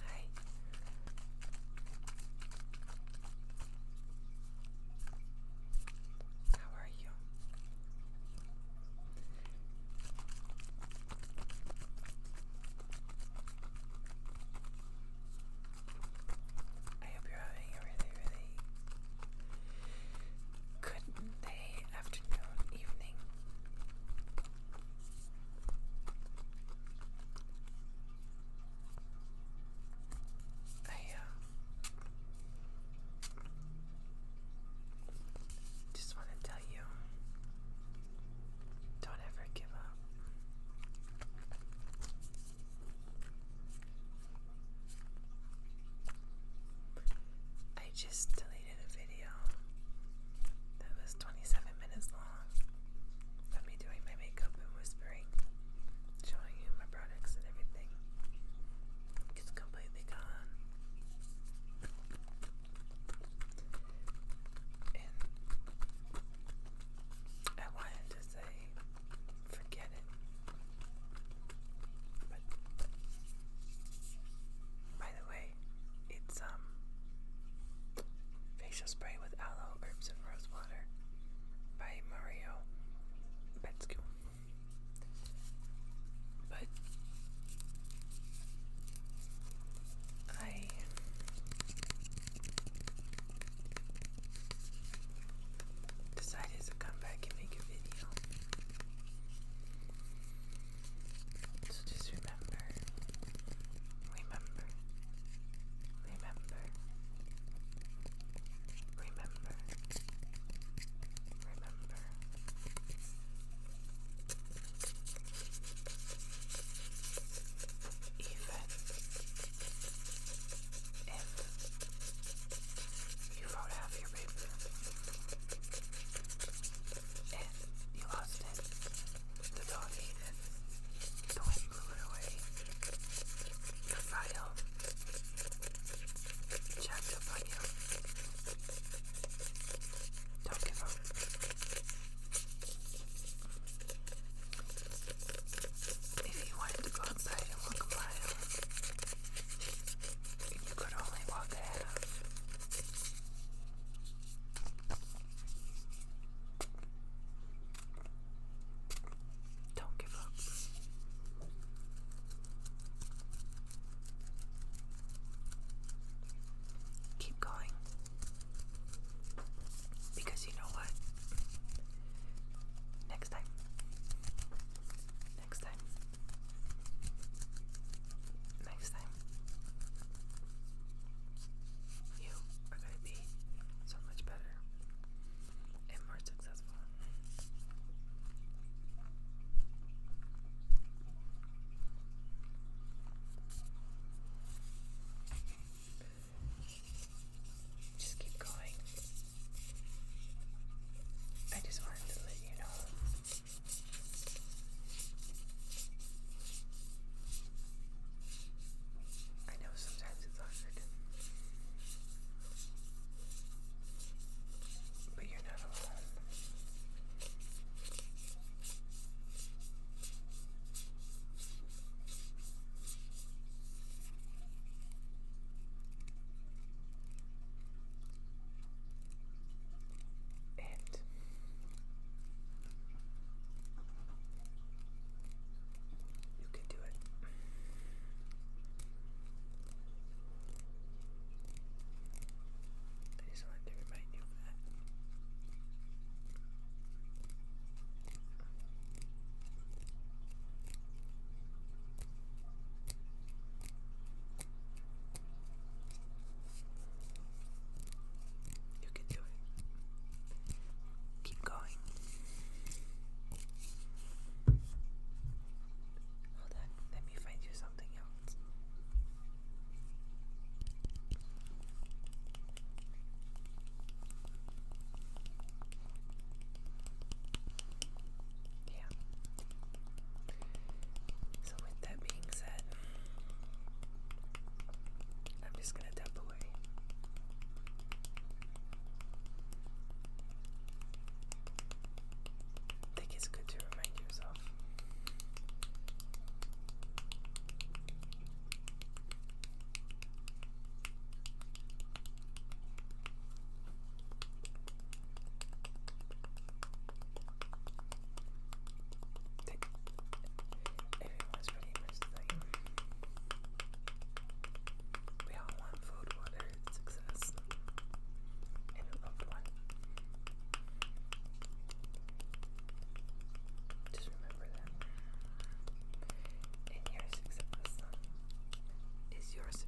はい How are you? I hope you're having a really, really good day, afternoon, evening. I, uh, just want to tell you don't ever give up. I just deleted completed a video that was 27 minutes long of me doing my makeup and whispering, showing you my products and everything. It's completely gone. And I wanted to say, forget it by the way, it's um facial spray with aloe, herbs, and rose water by Mario Betscu. But I decided to come back and make a video so just remember, remember, remember, remember, remember. Even if you wrote half your paper. And you lost it. The dog ate it. The wind blew it away. The file jacked Don't give up. If you wanted to go outside and walk a you could only walk a half. Don't give up. Keep going. Because you know what? Next time. Next time. Next time, you are going to be so much better and more successful. Just keep going. I just wanted to let you know. I know sometimes it's hard, but you're not alone and you can do it. I just wanted to remind you of that. You can do it. Keep going. Hold on, let me find you something else. Yeah. So, with that being said, I'm just gonna tap away. I think it's good to remind yourself. Everyone's pretty much the same. We all want food, water, success, and a loved one. Just remember that. And your success is your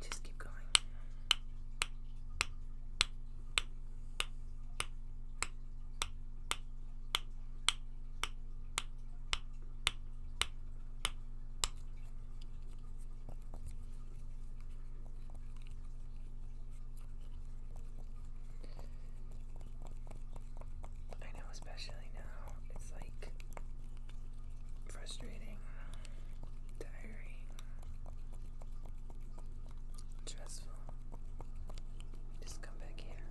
just keep going. I know, especially now, it's like frustrating tiring, stressful. Just come back here.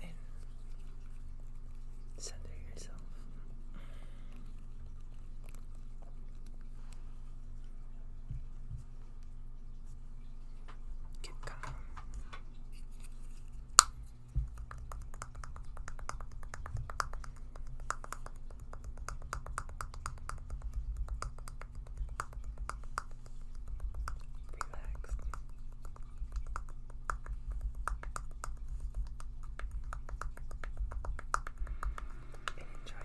And center yourself. calm. Relaxed. And enjoy.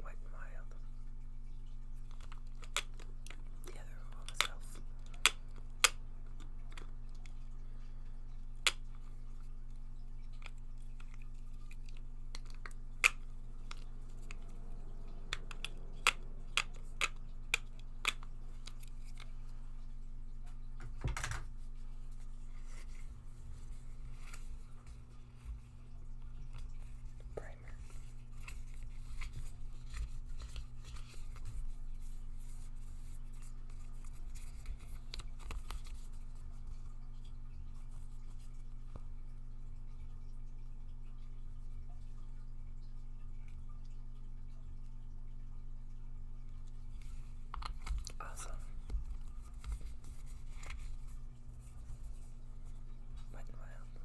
White mild. The other one was elf. Primer. Awesome. Wet wild.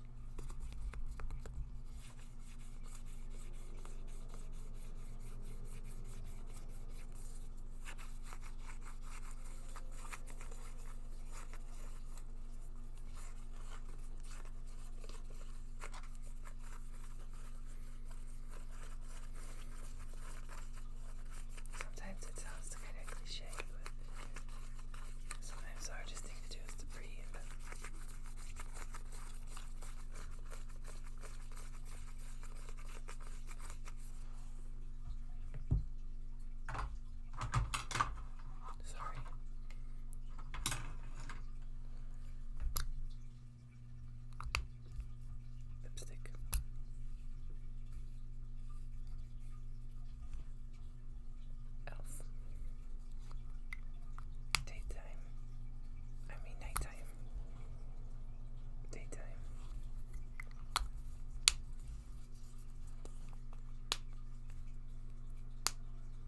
Sometimes it sounds kind of cliche, but sometimes the hardest thing to do is to breathe. Sorry. Lipstick. Elf. Daytime. I mean nighttime. Daytime.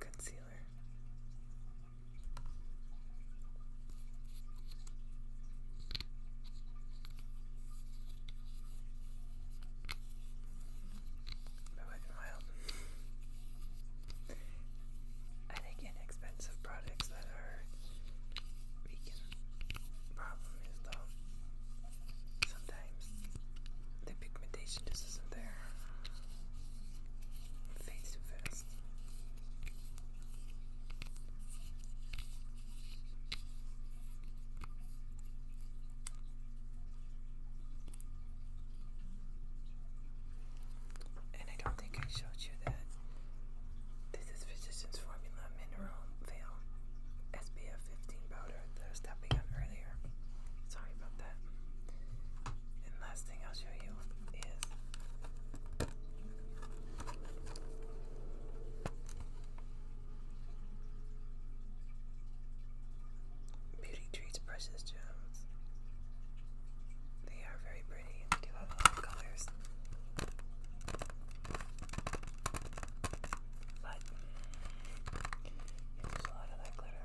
Concealer my wife and my I think inexpensive products that are vegan. Problem is though, sometimes the pigmentation just isn't there. It fades too and I don't think I showed you that this is Physicians Formula Mineral Veil SPF 15 powder that I was tapping earlier. Sorry about that. And last thing I'll show you is Beauty Treats Precious they are very pretty and they do have a lot of colors. But there's a lot of that glitter.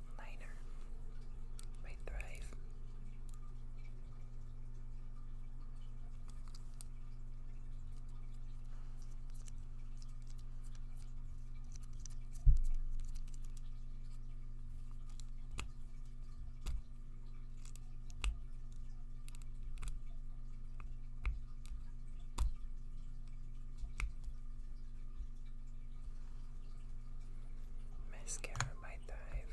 Miner may thrive. Mascara. I might dive.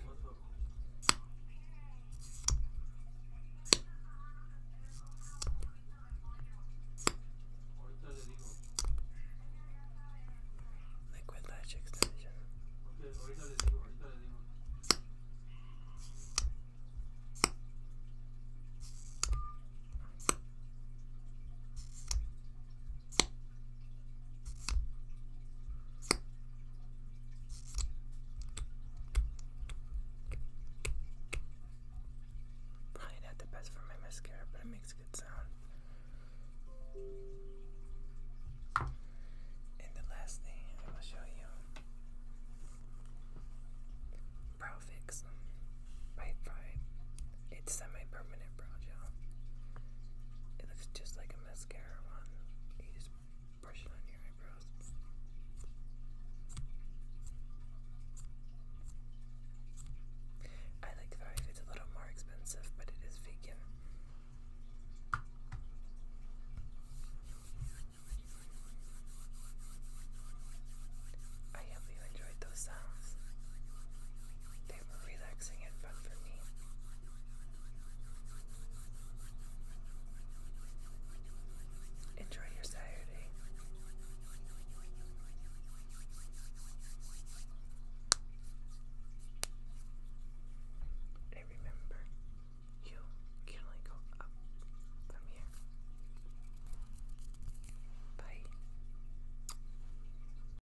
Liquid Latch Extension. Probably not the best for my mascara, but it makes a good sound. And the last thing I will show you Brow Fix by Pride. It's semi-permanent brow gel. It looks just like a mascara one. You just brush it on your eyebrows. I like the it's a little more expensive, but it is vegan. I hope you enjoyed those sounds. They relaxing and fun for me. Enjoy your Saturday. And remember, you can only go up from here. Bye.